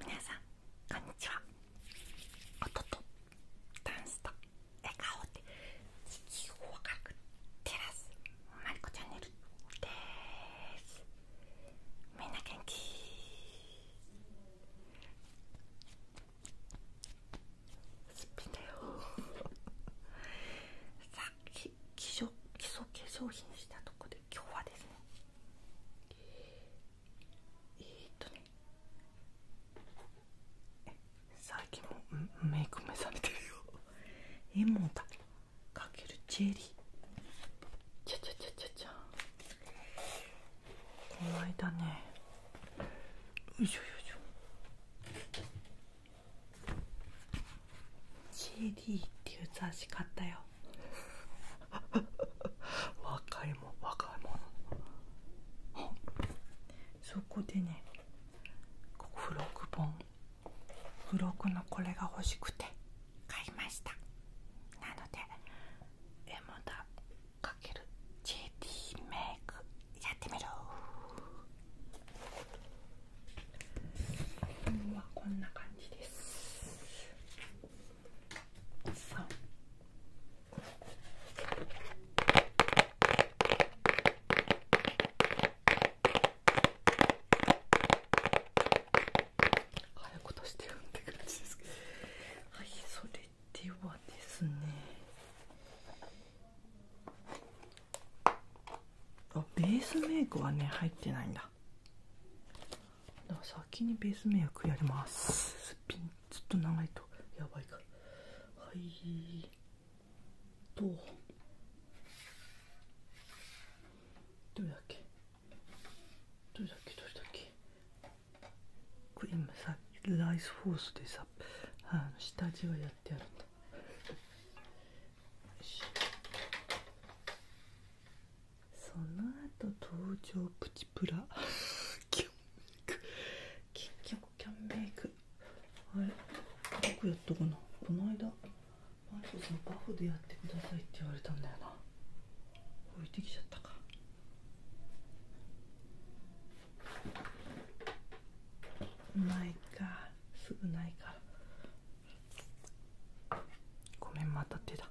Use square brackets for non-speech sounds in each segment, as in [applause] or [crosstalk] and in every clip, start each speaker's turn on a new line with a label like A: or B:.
A: みなさんこんにちは音とダンスと笑顔で地球を明く照らすマリコチャンネルですみんな元気すっぴんだよ [laughs] さあき基礎基礎化粧品したとこで今日はですねえー、っとね最近もメイク目覚めてるよエモだかけるチェリーちゃちゃちゃちゃちゃこの間ねよしょよしょチェリーっていう雑誌買ったよ [laughs] 若いもん若いものそこでね付録本付録のこれが欲しくて買いましたなので「エモダ×ジェディメイク」やってみる。本はこんな感じです三。早くとしてるって感じですけど。はい、それではですね。あ、ベースメイクはね、入ってないんだ。だから先にベースメイクやりますすっぴんずっと長いとやばいからはいとどれだっけどれだっけどれだっけこれ今さライスフォースでさあの下地はやってやるんだよしその後登場プチプラキャンメイク結局キャンメイクあれどこやったかなこの間マリコさんバフでやってくださいって言われたんだよな置いてきちゃったかないかすぐないかごめんまた手だ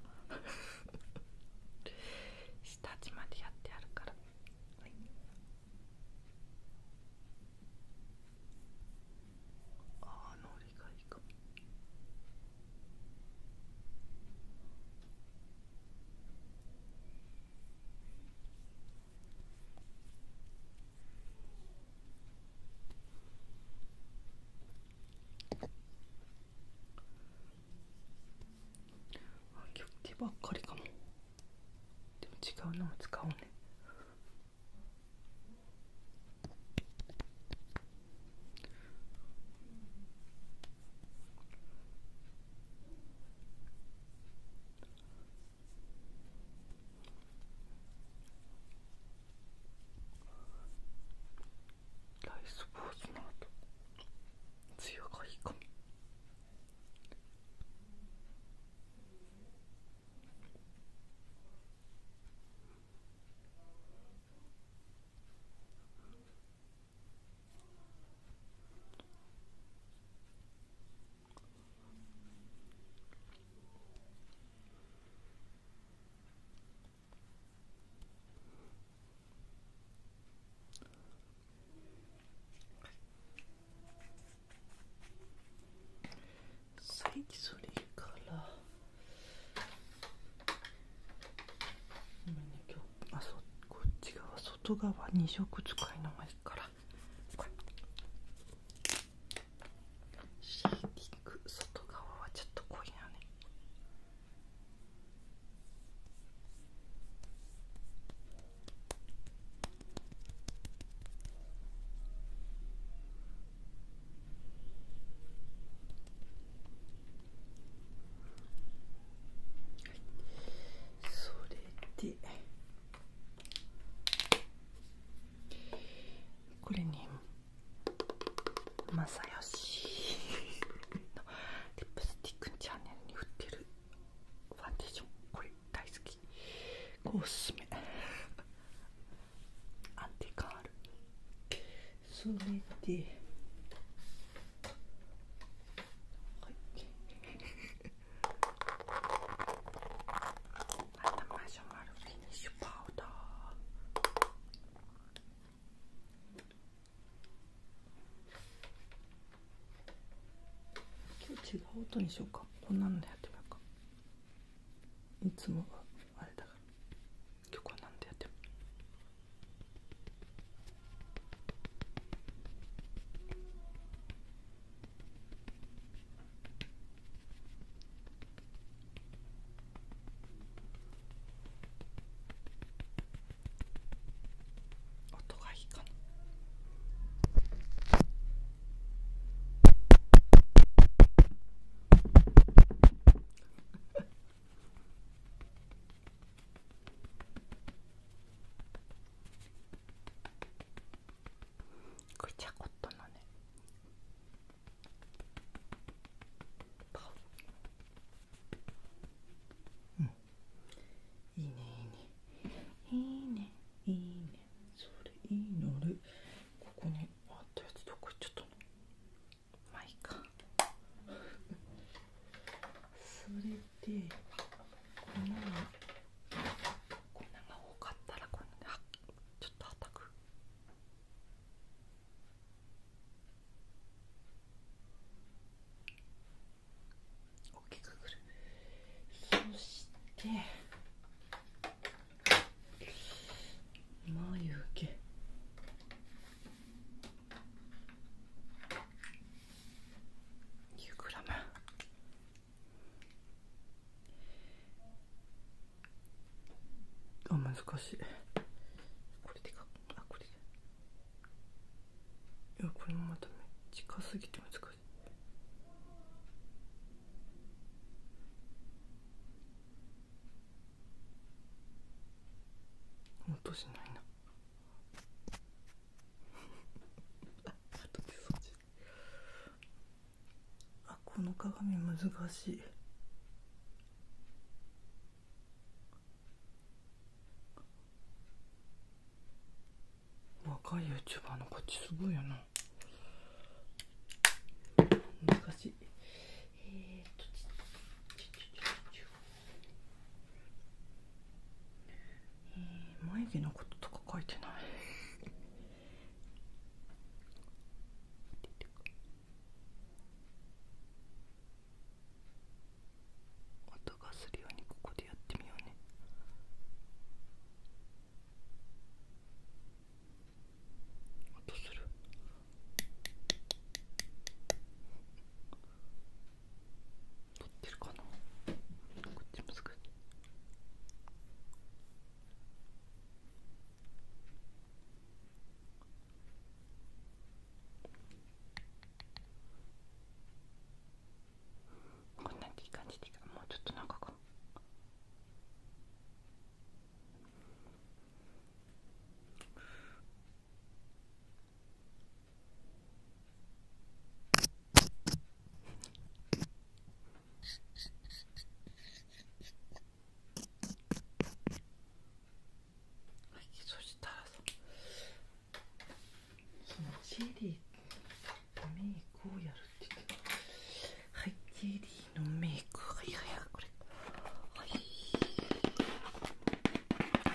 A: 下地までやってあるからはいああのりがいいかもあ今ばっかりかもでも違うのも使おうねライスポーツのあと、強がいいかも最近それから今日あそこっち側外側2色使いのがいからシーディング外側はちょっと濃いなね。それでこれに。まさよしのリップスティックチャンネルに売ってるファンデーションこれ大好きスメ。アンティカール。それではいまたマシュマロフィニッシュパウダー今日違う音にしようかこんなんでやってみようかいつもはあれだから今日こんなんでやってみよう音がいいかな。ぐちゃこっとのね。うんいいねいいねいいねいいねそれいいのるここにあったやつどこ行っちゃったのまあいいかそれで粉が粉が多かったらこのねちょっとはたく。大きくくるそして眉毛9グラムあ難しいこれでかあこれでいやこれもまた近すぎて難しい音しないな [laughs] あこの鏡難しい若い YouTuber のこっちすごいよな難しいえー、っとえー、眉毛のこととか書いてない [laughs] 音がするようにここでやってみようね音する撮ってるかなこっちもすぐこんなんでいい感じでいいかもうちょっとなんかこうはい、そしたらさそのチェリーのメイクをやるって言ってはいジェリーのメイクはいはいはいこれは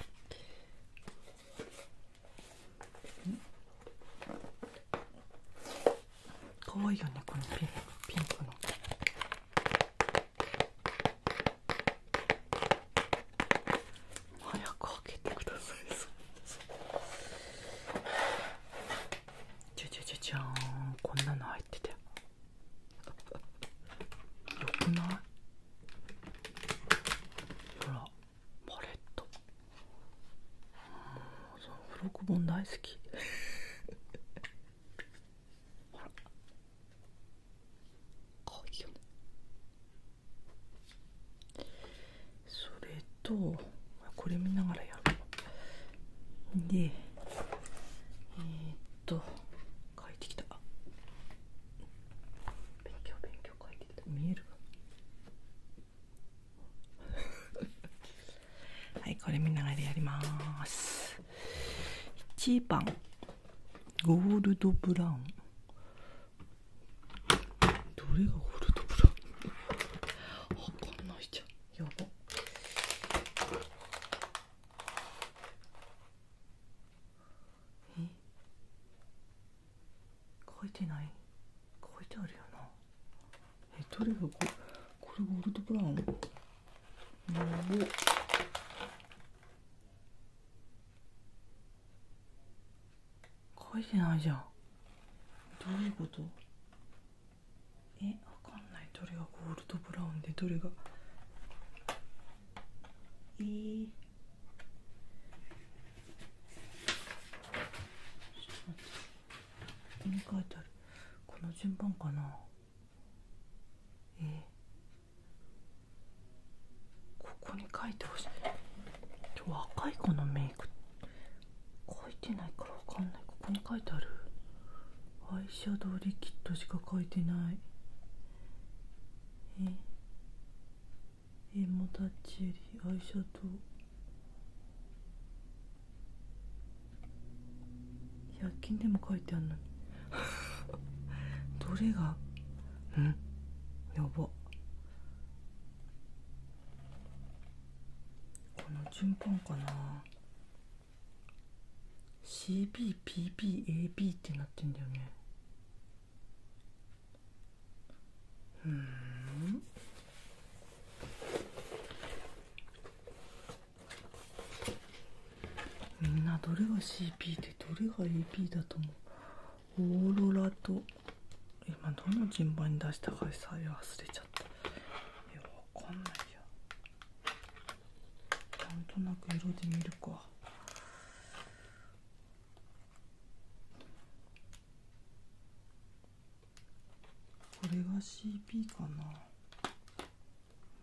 A: いかわいいよねこのピンピンクの。早く開けてくださいじゃじゃじゃじゃこんなの入っててよくないほらパレットうんそう付録本大好きほら [laughs] かわいいよねそれとこれ見ながらやるでえっと書いてきた勉強勉強書いてきた見える [laughs] はいこれ見ながらやります1番ゴールドブラウンどれがゴールドブラウンわかんないじゃんやばえ書いてない書いてあるよなえどれがこれこれゴールドブラウン書いてないじゃんどういうことえわかんないどれがゴールドブラウンでどれがえー、ちょっと待ってここに書いてあるこの順番かなえここに書いてほしい若い子のメイク書いてないから分かんないここに書いてあるアイシャドウリキッドしか書いてないえエモタッチェリアイシャドウ100均でも書いてあるのに [laughs] どれがうんやばこの順番かな CBPBAB ってなってんだよねうんみんなどれが CP でどれが AP だと思うオーロラと今どの順番に出したかさえ忘れちゃったいやわかんないやゃんとなく色で見るかこれが CP かな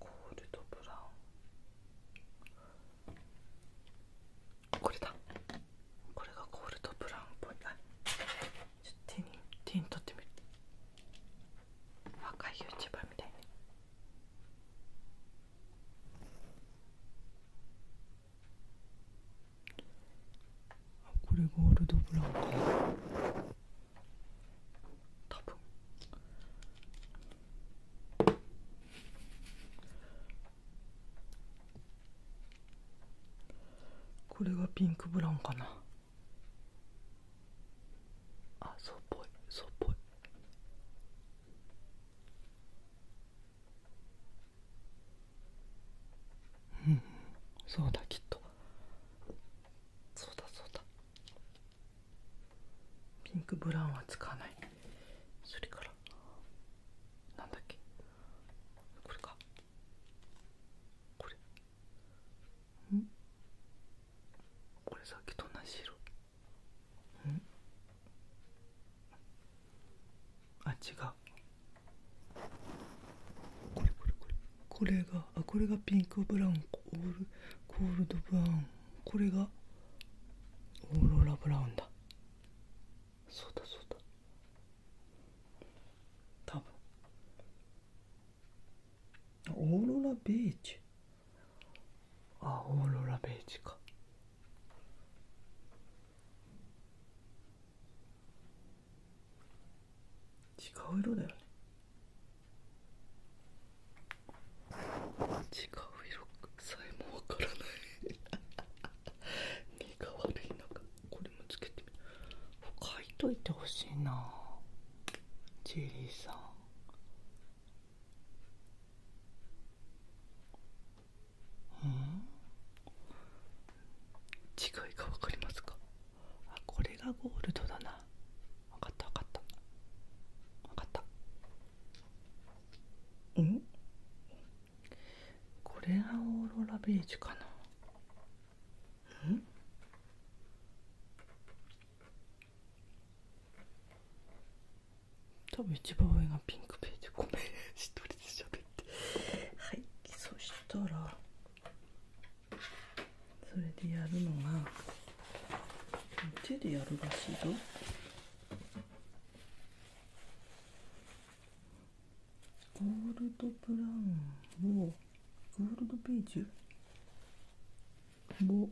A: ゴールドブラウンこれだこれがゴールドブラウンっぽいなちょっと手に手に取ってみる若い YouTuber みたいねこれゴールドブラウンかな多分これがピンクブラウンかなあそうっぽいそうっぽいうんそうだきっとそうだそうだピンクブラウンはつかないそれからなんだっけこれかこれんこれさっきと同じ色んあ違うこれこれこれこれがあこれがピンクブラウンゴールコールドブラウンこれがオーロラブラウンだそうだそうだ多分オーロラベージあオーロラベージュか違う色だよね違う色さえもわからない目 [laughs] が悪いか、これもつけてみ書いといてほしいなジェリーさんうん違いが分かりますかあこれがゴールドだな分かった分かった分かったうんこれがオーロラベージュかなうん多分一番上がピンクベージュ、ごめん [laughs] 一人で喋ってはいそしたらそれでやるのが手でやるらしいぞゴールドプラウンをゴールドベージュを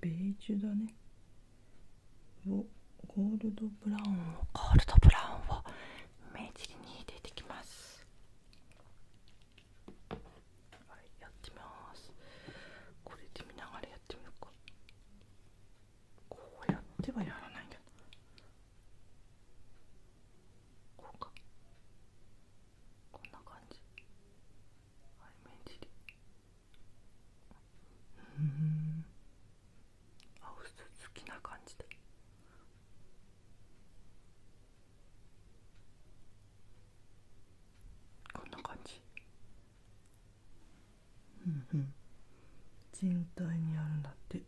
A: ベージュだねをゴールドブラウンをゴールドブラウンを目尻に入れてきますはいやってみますこれで見ながらやってみようかこうやってはやらないんだこうかこんな感じはいじり。うんあ薄好きな感じでこんな感じうんうん全体にあるんだって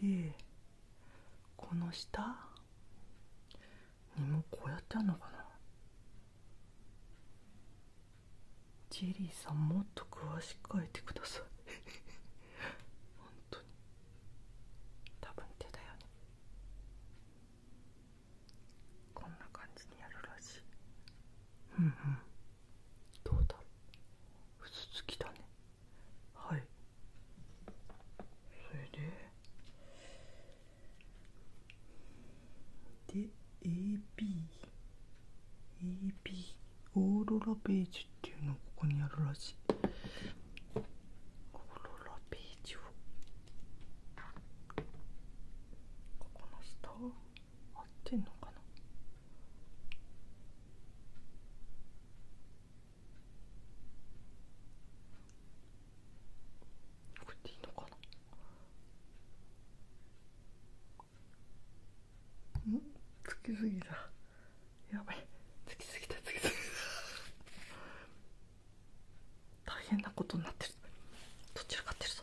A: でこの下にもこうやってあんのかなジェリーさんもっと詳しく書いてください [laughs] 本当に多分手だよねこんな感じにやるらしいうんうんどうだろう薄つきだねはいそれでで ABAB オーロラページっていうのがここにあるらしいオーロラページをここのスター、合ってんのかなこれでいいのかなんつきすぎたやばいつきすぎたつきすぎた大変なことになってるどちらかってるぞ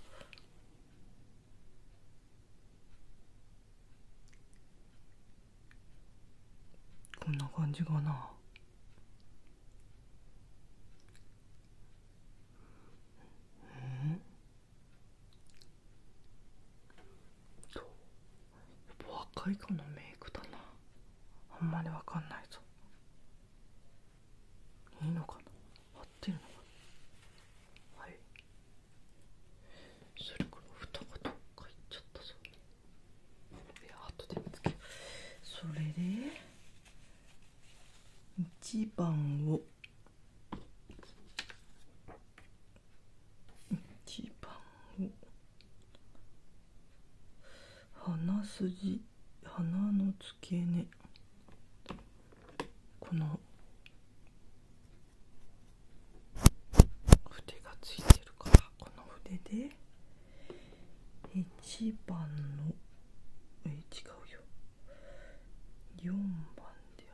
A: こんな感じかなうんそう。やっぱ若い子のメイクだなあんまりわかんないぞいいのかな合ってるのかなはいそれからどっか行っちゃったぞそれで1番を1番を鼻筋鼻の付け根この筆が付いてるからこの筆で。1番のえ違うよ4番で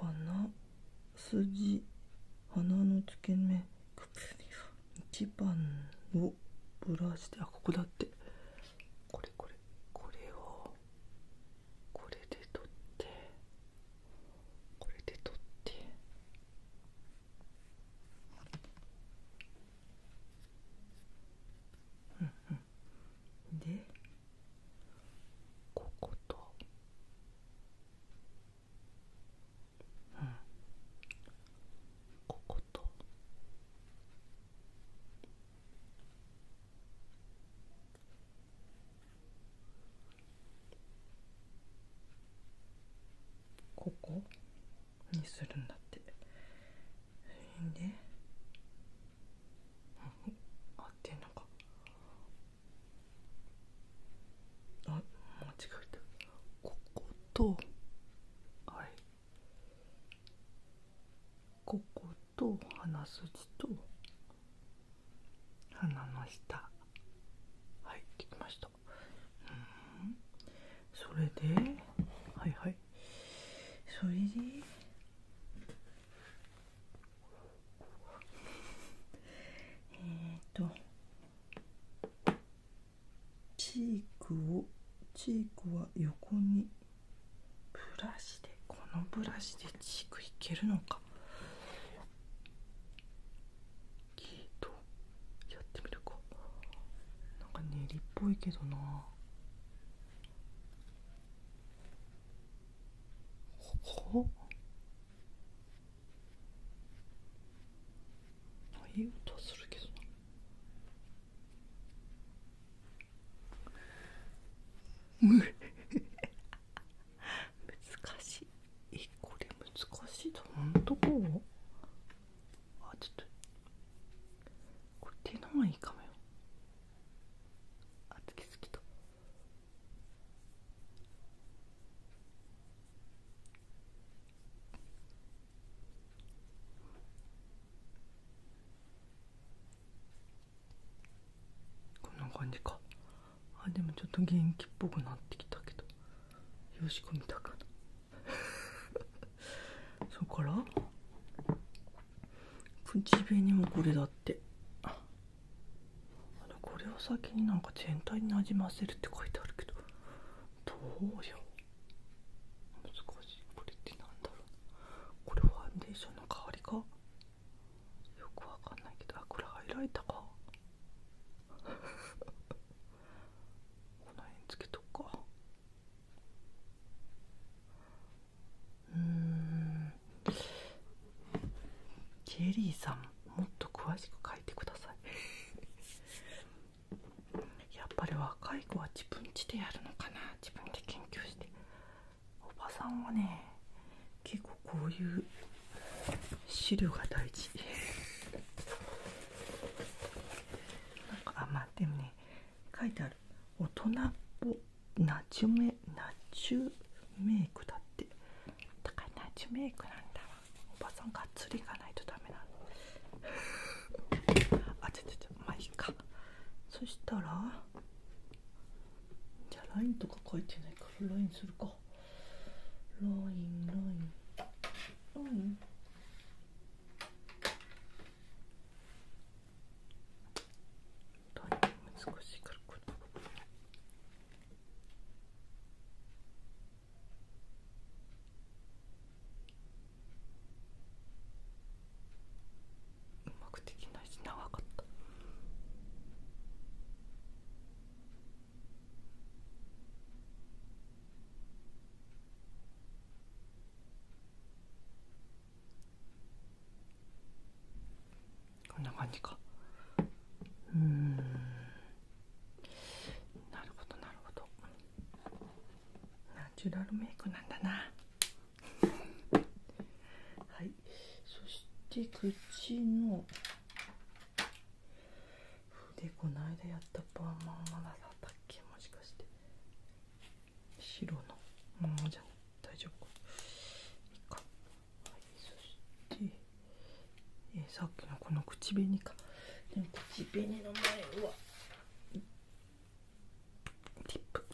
A: はな鼻筋鼻の付け根1番をブラシであここだってこれこれこれをこれで取ってこれで取ってうんうんでこことうんこことここにするんだってで合ってんのかあ間違えたこことあれここと鼻筋と鼻の下はいできましたうんそれではいはいそれでえっとチークをチークは横にブラシでこのブラシでチークいけるのかかキートやってみるかなんか練りっぽいけどなほっいい音するけどな難しいえこれ難しいどんなとこあちょっとこれ手の方がいいかもよあつきすぎとこんな感じかあでもちょっと元気っぽくなってきたけどよしこみたかな [laughs] そこから口紅もこれだってこれを先になんか全体になじませるって書いてあるけどどうよ難しいこれってなんだろうこれファンデーションの代わりかよくわかんないけどあこれは開いたかこの辺つけとくかうんジェリーさんもっと詳しく書いてください [laughs] やっぱり若い子は自分家でやるのかな自分で研究しておばさんはね結構。こういう資料が大事なんかあまあでもね書いてある大人っぽナチュメナチュメイクだってだからナチュメイクなんだわおばさんがっつりいかないとダメなのあちょちょちょまあいいかそしたらじゃあラインとか書いてないからラインするか。ロインロインロインロイン難しいからこれうまくできないし長かった。こんな感じかうんなるほどなるほどナチュラルメイクなんだなはいそして口のでこの間やったパーマンは、なだだったっけもしかして白のままじゃ大丈夫かはい、そして、えさっきのこの口紅かでも口紅の前はティップ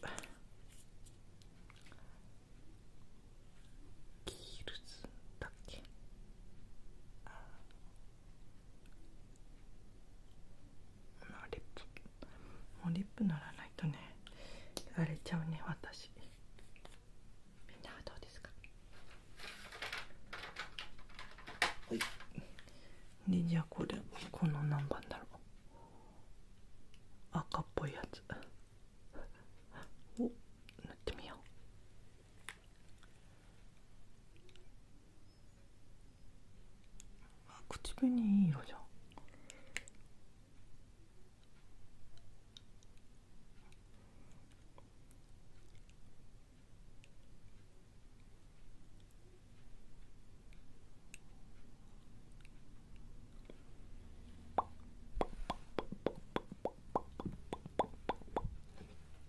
A: キールズだっけああリップもうリップ塗らないとね荒れちゃうね私じゃあ、どうですかはいでじゃあこれこの何番だろう赤っぽいやつ 오, 으뜸이요. 아, 구치변이 그 이러죠.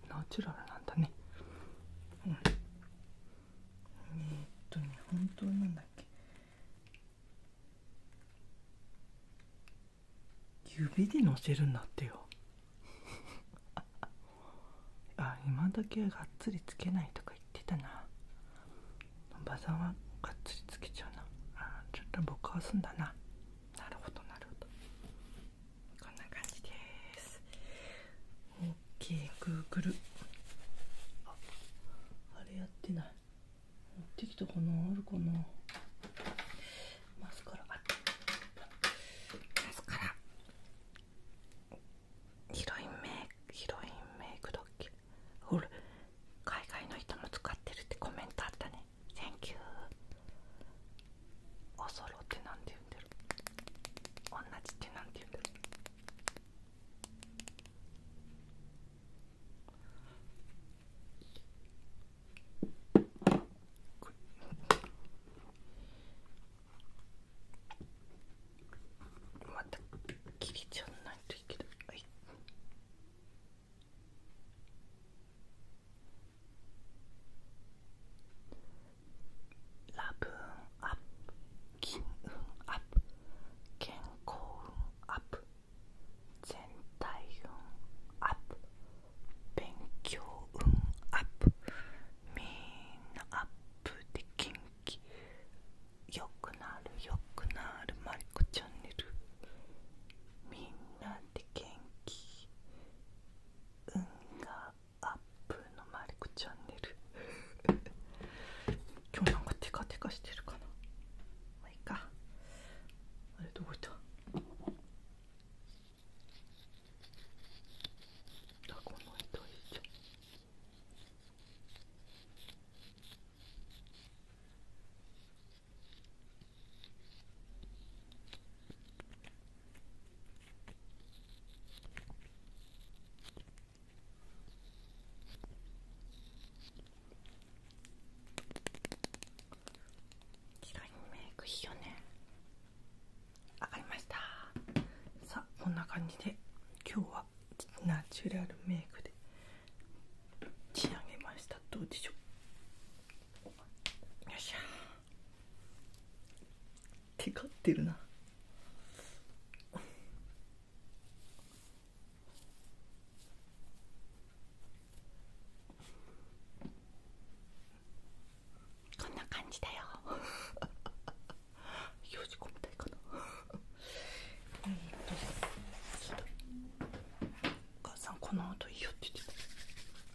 A: ナチュラルなんだねうんえっとね本当なんだっけ指でのせるんだってよ [laughs] あ今だけがっつりつけないとか言ってたな馬さんはがっつりつけちゃうなあちょっと僕はすんだななるほどなるほどこんな感じですオッケーグーグルああれやってない持ってきたかなあるかなマスカラあマスカラヒロインメイクヒロインメイクだっけほら海外の人も使ってるってコメントあったね「Thank you」「おそろ」ってなんて言うんだろ「おんなじ」ってなんて言うんだろまた切れちゃわないといけない。い、ラブ運アップ金運アップ健康運アップ全体運アップ勉強運アップみんなアップで元気よくなるよくなるマリコチャンネルみんなで元気運がアップのマリコチャンネル今日なんかテカテカしてるかなまあいいかあれどこいたあこの人いいじゃ白いメイクいいよね上がりましたさあこんな感じで今日はナチュラルメイクで仕上げましたどうでしょうよいしょテカってるなこんな感じだよよじこみたいかなえっとそうだお母さんこの音いいよって言ってた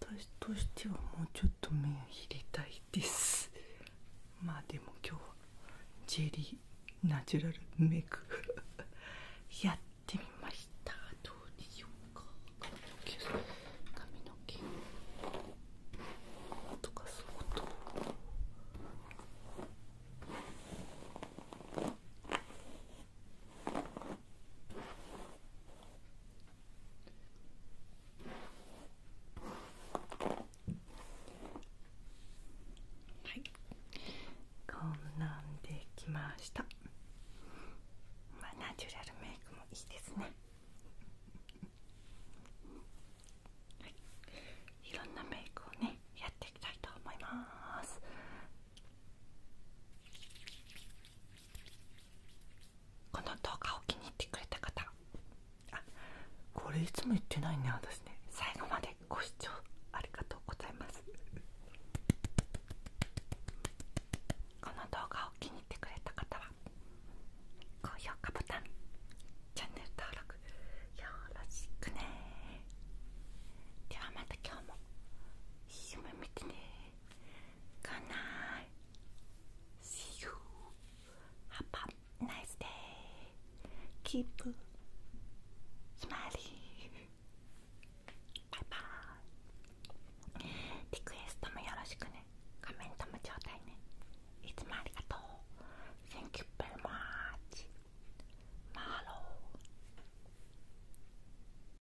A: 私としてはもうちょっと目を切りたいですまあでも今日はジェリーナチュラルメイク [laughs] やってみましたどうでしょうか髪の毛髪の毛とかそうとはいこんなんできましたナチュラルメイクもいいですねはいいろんなメイクをねやっていきたいと思いますこの動画を気に入ってくれた方あこれいつも言ってないね私ね最後までご視聴ありがとうございますこの動画を気に入ってくれた方は高評価ボタンチャンネル登録よろしくねではまた今日もいい夢見てね Good night. See you. Have a nice day. Keep smiling. Bye bye. リクエストもよろしくね。コメントもちょうだいね。いつもありがとう。Thank you very much. マロー。